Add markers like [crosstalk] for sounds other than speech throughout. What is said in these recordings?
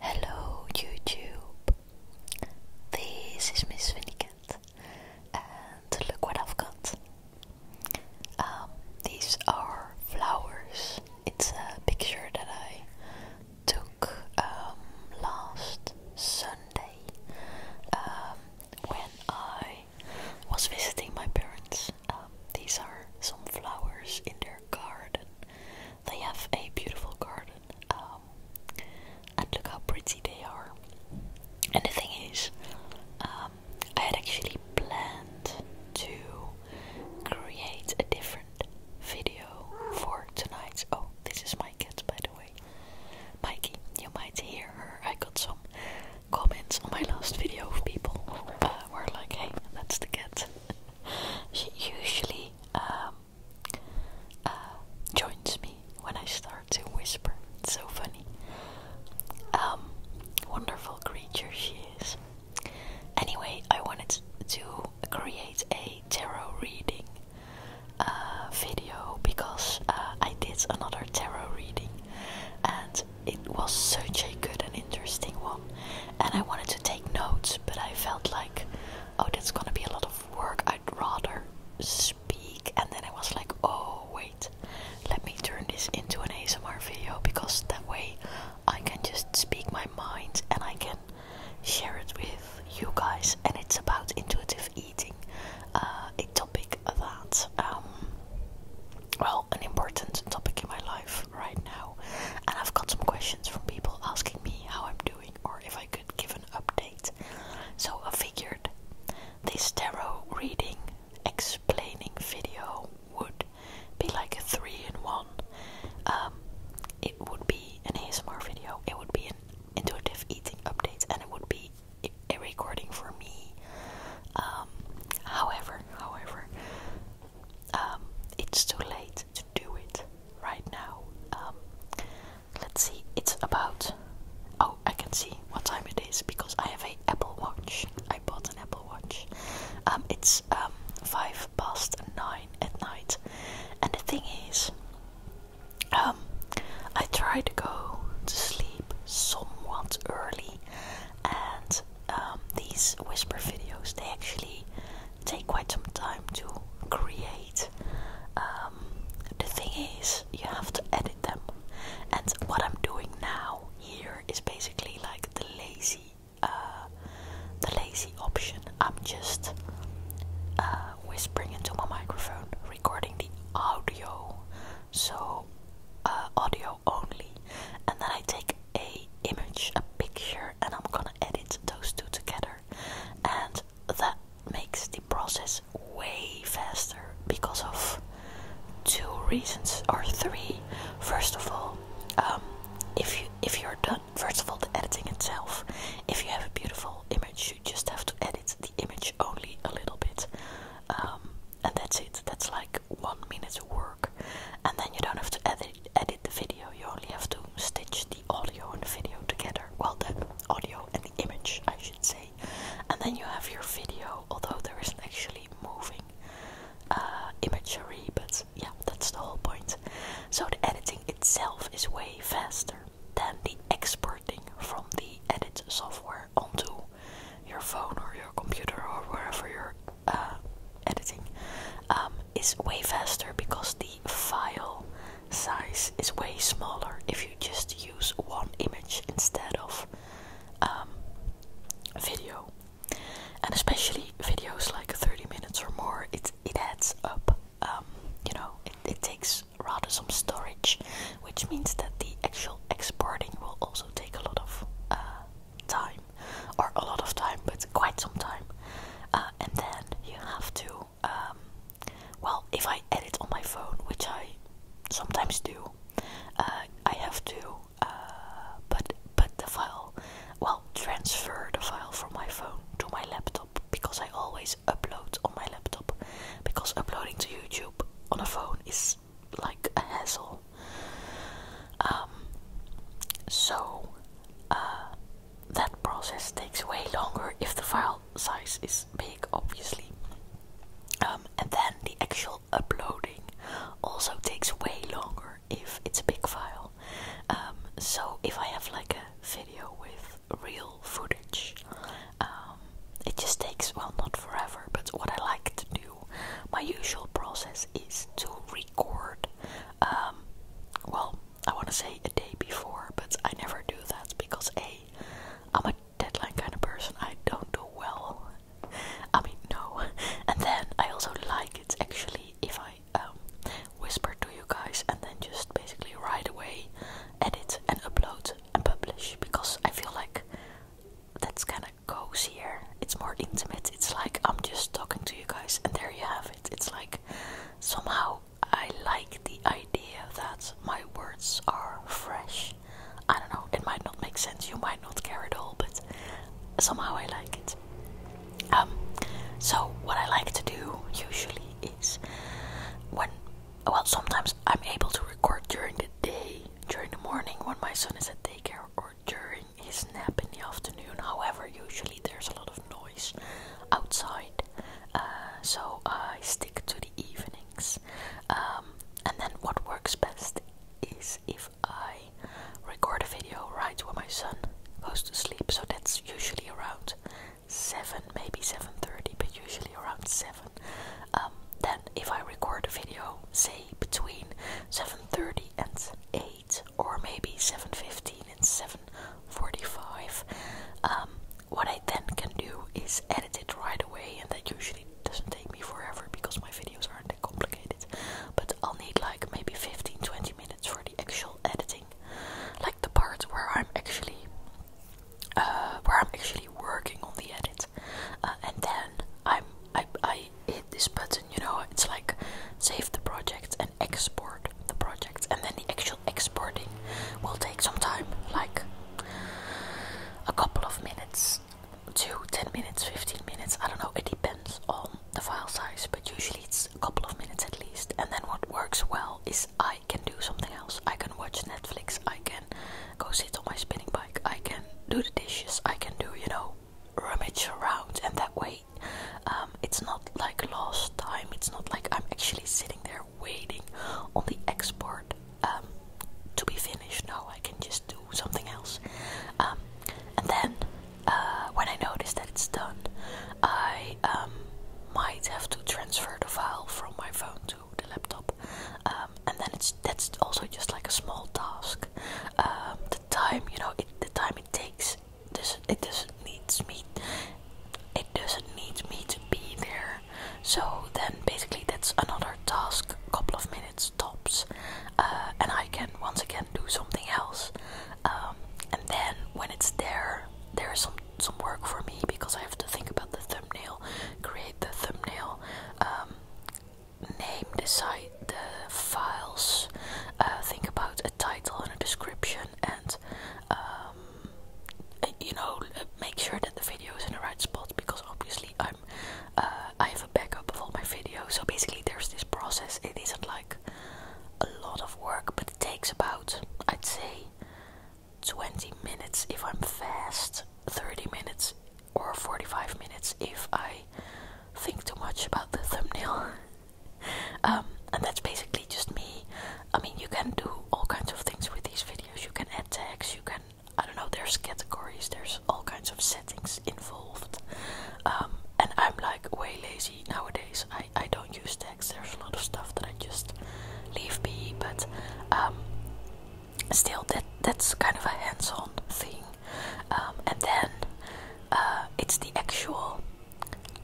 Hello YouTube, this is Miss Winnicott and look what I've got. Um, these are flowers. It's a picture that I took um, last Sunday um, when I was visiting my parents. these are some flowers in their garden they have a beautiful garden, um, and look how pretty they are. And the thing is, um, I had actually planned to create a different video for tonight. Oh, this is my cat, by the way. Mikey, you might hear her. I got some comments on my last video of people who uh, were like, hey, that's the cat she usually um, uh, joins me when I start to whisper. It's so funny. Um, wonderful creature she is. Anyway, I wanted to create a tarot reading uh, video because uh, I did another tarot reading and it was such a good interesting one, and I wanted to take notes, but I felt like, oh, that's gonna be a lot of work. I'd rather speak, and then I was like, oh, wait, let me turn this into an ASMR video because that way I can just speak my mind and I can share it with you guys. And it's about intuitive eating, uh, a topic that, um, well, an important topic in my life right now, and I've got some questions from people asking me how I'm doing or if I could give an update. So I figured this tarot reading explaining video would be like a three in one. Um, it would be an ASMR video, it would be an intuitive eating update, and it would be a recording for me. Um, however, however, um, it's too late to do it right now. Um, let's see, it's about. Oh, I can see what time it is because I have an Apple Watch. I bought an Apple Watch. Um, it's five past nine at night, and the thing is, I try to go to sleep somewhat early, and um, these whisper videos they actually take quite some time to create. Um, the thing is, you have to edit them, and what I'm doing now here is basically like the lazy, uh, the lazy option. I'm just uh, whispering into my microphone, recording the audio, so uh, audio only and then I take a image, a picture and I'm gonna edit those two together and that makes the process way faster because of two reasons or three. First of all, um, if you if you're done first of all the editing itself, if you have a beautiful image you just have to edit the image only a little bit. Um, and that's it. That's like one minute of work and then you don't have to edit, the video, you only have to stitch the audio and the video together. Well, the audio and the image, I should say. And then you have your video, although there isn't actually moving uh, imagery, but yeah, that's the whole point. So the editing itself is way faster than the exporting from the edit software onto your phone or your computer or wherever you're uh, editing um, is way faster because the file size is way smaller if you just use one image instead of um, video. And especially videos like 30 minutes or more, it, it adds up. Um, you know, it, takes rather some storage, which means that the actual exporting will also take a lot of uh, time, or a lot of time, but quite some time. Uh, and then you have to, um, well, if I edit on my phone, which I sometimes do, uh, I have to uh, put the file, well, transfer the file from my phone to my laptop because I always upload on my laptop because uploading to YouTube on a phone is like a hassle. Um, so uh, that process takes way longer if the file size is big, obviously. Um, and then the actual uploading also takes way longer if it's a big file. Um, so if I have like a video with real footage, it just takes well, not forever, but what I like to do my usual process is to record, um, well, I want to say a day before, but I never do that because A, I'm a deadline kind of person, I don't do well. I mean, no. And then I also like it's actually if I um, whisper to you guys and then just basically right away edit and upload and publish because I feel like that's kind of Goes here. it's more intimate. It's like I'm just talking to you guys, and there you have it. It's like somehow I like the idea that my words are fresh. I don't know, it might not make sense, you might not care at all, but somehow I like it. Um, so, what I like to do usually is when, well, sometimes I'm able to record during the day, during the morning when my son is at daycare, or during his nap in the afternoon. However, usually there's a lot of noise outside, uh, so I stick to the evenings. Um, and then, what works best is if I record a video right when my son goes to sleep. So that's usually around seven, maybe seven thirty, but usually around seven. Um, then, if I record a video, say between 7.30 and 8 or maybe 7.15 and 7.45 um, what I then can do is edit it right away and that usually doesn't take me forever because my videos aren't that complicated but I'll need like maybe 15-20 minutes for the actual editing like the part where I'm actually uh, where I'm actually working on the edit, uh, and then I'm I I hit this button, you know, it's like save the project and export the project, and then the actual exporting will take some time, like a couple of minutes to 10 minutes, 15 minutes, I don't know, it depends on the file size, but usually it's a couple of minutes at least. And then what works well is I can do something else. I can watch Netflix, I can go sit on my spinning bike. I can do the dishes. I can do, you know, rummage around, and that way, um, it's not like lost time. It's not like I'm actually sitting there waiting on the export um, to be finished. No, I can just do something else. Um, and then, uh, when I notice that it's done, I might have to transfer the file from my phone to the laptop. Uh, um, and then it's that's also just like a small task. Um, the time you know, it, the time it takes. This it doesn't needs me. It doesn't need me to be there. So then basically that's another task, A couple of minutes tops, uh, and I can once again do something else. Um, and then when it's there, there is some some work for me because I have to think about the thumbnail, create the thumbnail name the site, the files. Uh, think about a title and a description, and um, you know, make sure that the video is in the right spot because obviously I'm uh, I have a backup of all my videos. So basically, there's this process. It isn't like a lot of work, but it takes about I'd say 20 minutes if I'm fast, 30 minutes or 45 minutes if I think too much about the thumbnail. [laughs] Um, and that's basically just me. I mean, you can do all kinds of things with these videos. You can add tags, you can, I don't know, there's categories, there's all kinds of settings involved. Um, and I'm like way lazy nowadays. I, I don't use tags, there's a lot of stuff that I just leave be, but um, still that that's kind of a hands-on thing um, and then uh, it's the actual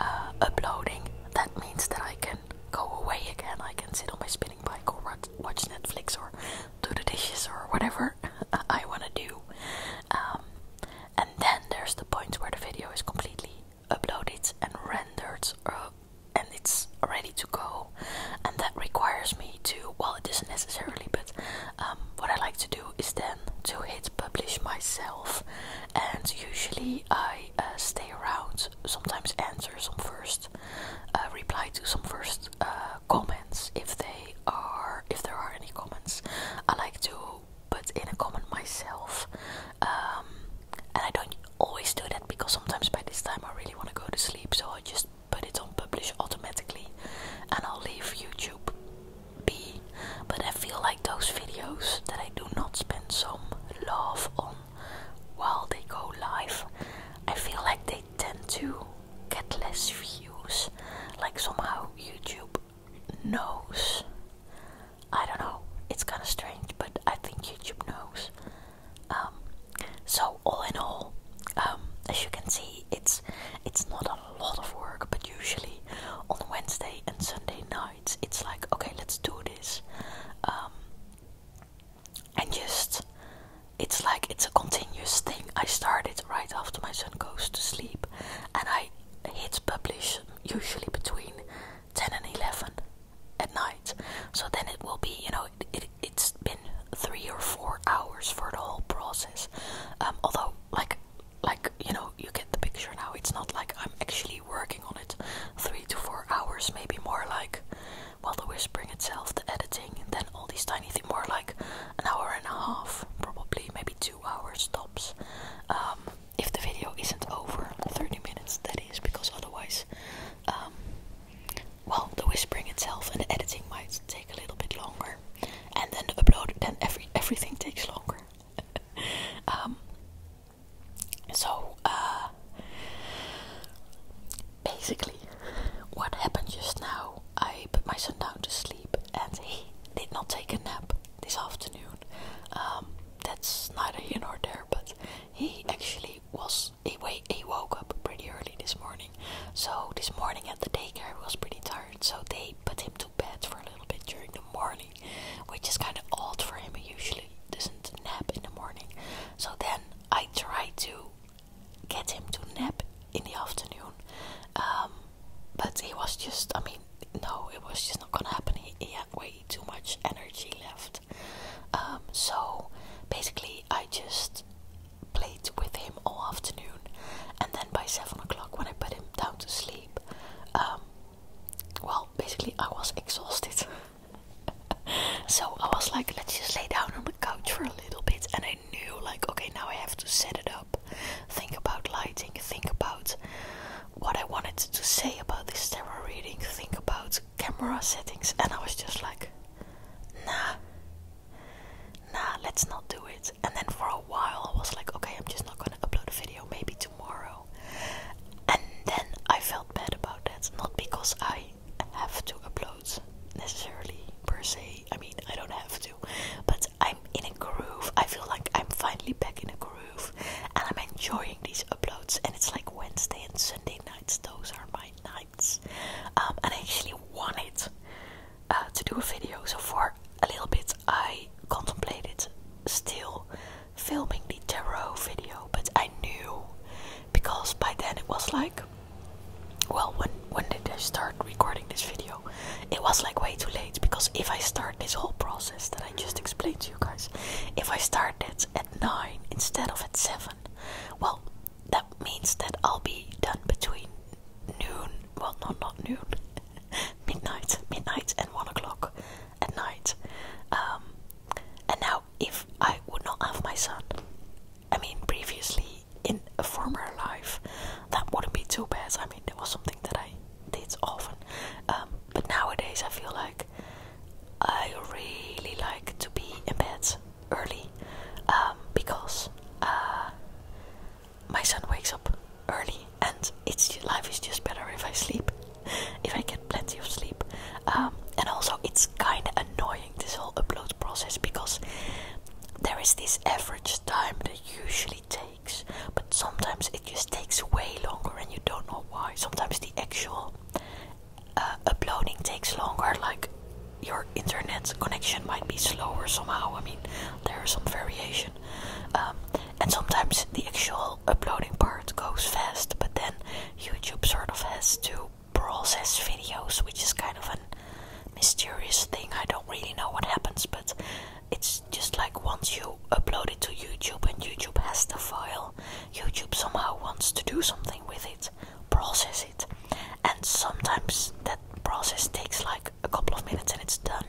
uh, uploading that means that I can go away again I can sit on my spinning bike or watch Netflix or do the dishes or whatever [laughs] I want to do um, and then there's the point where the video is completely uploaded and rendered uh, and it's ready to go and that requires me to well it doesn't necessarily but um, what I like to do is then to hit publish myself and usually I uh, stay around sometimes answer some first uh, reply to some first uh, comments if they are if there are any comments I like to put in a comment myself um, and I don't always do that because sometimes by this time I really want to go to sleep so I just but it's on publish automatically and I'll leave YouTube be. But I feel like those videos that I do not spend some love on while they go live, I feel like they tend to get less views. Like somehow YouTube knows. I don't know, it's kinda strange, but I think YouTube knows um, so all in all, um, as you can see, it's it's not a lot of work, but usually on Wednesday and Sunday nights, it's like okay, let's do this, um, and just it's like it's a continuous thing. I start it right after my son goes to sleep, and I hit publish usually between ten and eleven at night. So then it will be, you know, it, has been three or four hours for the whole process. Um, although, like, like you know, you get the picture now. It's not like I'm actually working on it. Three to four hours, maybe more like, well, the whispering itself, the editing, and then all these tiny things. More like an hour and a half, probably, maybe two hours tops. Um, if the video isn't over 30 minutes, that is, because otherwise, um, well, the whispering itself and the editing might take a little bit longer, and then the upload, then every everything takes longer. [laughs] um, so, uh, basically, what happened just now? I put my son down to sleep, and he did not take a nap this afternoon. Um, that's neither here nor there, but he actually was he wait he woke up pretty early this morning. So this morning at the daycare he was pretty tired, so they put him to bed for a little bit during the morning, which is kind of odd for him. He usually doesn't nap in the morning. So then I tried to get him to nap in the afternoon, um, but he was just I mean no, it was just not gonna happen. He, had way too much energy left. Um, so basically I just played with him all afternoon, and then by seven o'clock when I put him down to sleep, um, well, basically I was exhausted. [laughs] so I was like, let's just lay down on the couch for a little bit, and I knew like, okay, now I have to set it up, think about lighting, think about what I wanted to say about this tarot reading, think about camera settings and I was just like nah nah let's not do it and then for a while I was like okay I'm just not gonna upload a video maybe tomorrow and then I felt bad about that not because I have to upload necessarily per se I mean I don't have to but I'm in a groove I feel like I'm finally back in a groove and I'm enjoying these uploads and it's like Wednesday and Sunday nights those are my nights um, and I actually wanted uh, to do a video. So for a little bit, I contemplated still filming the tarot video, but I knew because by then it was like, well, when when did I start recording this video? It was like way too late because if I start this whole process that I just explained to you guys, if I start it at nine instead of at seven. Well, that means that I'll be done between noon, well, no, not noon, [laughs] midnight, midnight and one o'clock at night. Um, and now, if I would not have my son, I mean, previously in a former life, that wouldn't be too bad. I mean, that was something that I did often. Um, but nowadays, I feel like I really like to be in bed early um, because uh, my son wakes up early, and life is just better if I sleep, [laughs] if I get plenty of sleep. Um, and also, it's kind of annoying this whole upload process because there is this average time that usually takes, but sometimes it just takes way longer, and you don't know why. Sometimes the actual uh, uploading takes longer, like your internet connection might be slower somehow. I mean, there is some variation, um, and sometimes the actual uploading part goes fast, but then YouTube sort of has to process videos, which is kind of a mysterious thing. I don't really know what happens, but it's just like once you upload it to YouTube and YouTube has the file, YouTube somehow wants to do something with it, process it, and sometimes that process takes like a couple of minutes and it's done,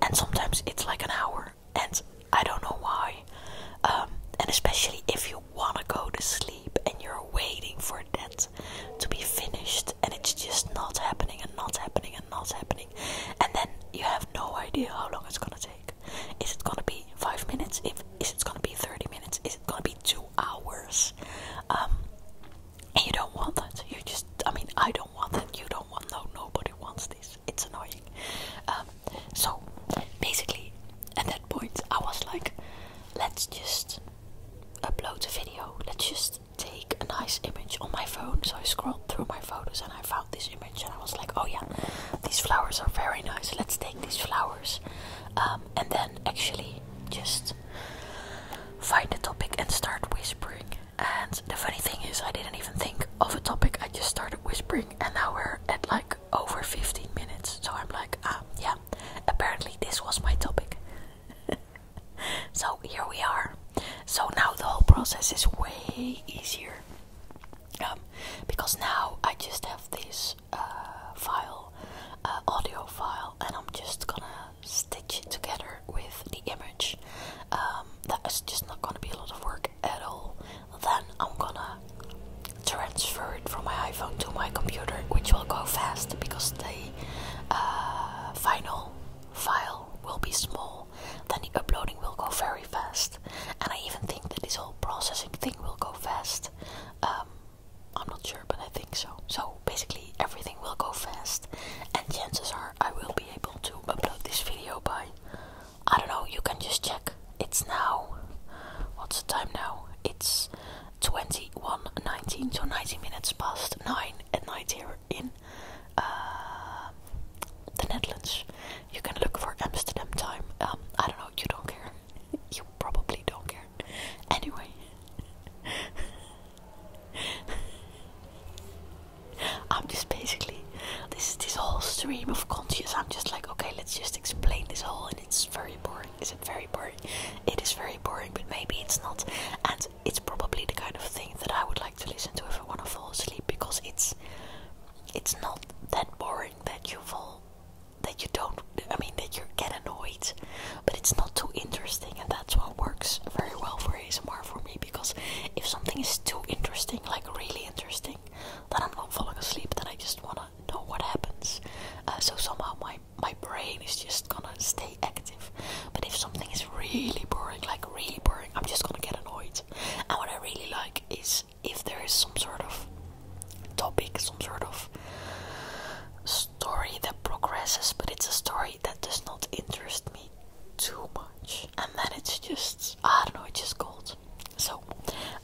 and sometimes it's like an hour, and I don't know why. Um, and especially if you want to go to sleep and you're waiting for that to be finished, and it's just not happening, and not happening, and not happening, and then you have no idea how long it's gonna take. Is it gonna be five minutes? If is it gonna be thirty minutes? Is it gonna be two hours? Um, and you don't want that. You just, I mean, I don't want that. You don't want. No, nobody wants this. It's annoying. Um, so basically, at that point, I was like, let's just upload the video. Let's just take a nice image on my phone. So I scrolled through my photos and I found this image and I was like, oh yeah, these flowers are very nice. Let's take." these flowers um, and then actually just find a topic and start whispering. And the funny thing is, I didn't even think of a topic, I just started whispering, and now we're at like over 15 minutes. So I'm like, ah, yeah, apparently this was my topic. [laughs] so here we are. So now the whole process is way easier um, because now I just have this uh, file, uh, audio file, and I'm just gonna stitch it together with the image. Um, that is just not gonna be a lot of work at all. Then I'm gonna transfer it from my iPhone to my computer, which will go fast because the uh, final file will be small. Then the uploading will go very fast and I even think that this whole processing thing will go fast. Um, I'm not sure, but I think so. So basically, everything will go fast, and chances are I will be able to upload this video by I don't know. You can just check. It's now. What's the time now? It's 21:19, to 90 minutes past nine at night here in uh, the Netherlands you can look for Amsterdam time. Um, I don't know, you don't care. [laughs] you probably don't care. Anyway. [laughs] I'm just basically this this whole stream of conscious. I'm just like, okay, let's just explain this whole, and it's very boring. Is it very boring? It is very boring, but maybe it's not. And it's probably the kind of thing that I would like to listen to if I want to fall asleep because it's it's not that boring that you fall that you don't I mean that you get annoyed but it's not too interesting and that's what works very well for ASMR for me because if something is too interesting like really interesting then I'm not falling asleep then I just wanna know what happens uh, so somehow my my brain is just gonna stay active but if something is really boring like really boring I'm just gonna get annoyed and what I really like is if there is some sort of topic, some sort of story that progresses, but it's a story that does not interest me too much, and then it's just I don't know, it's just gold. So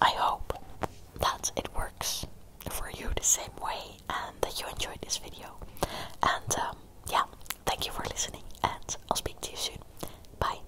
I hope that it works for you the same way, and that you enjoyed this video. And um, yeah, thank you for listening, and I'll speak to you soon. Bye.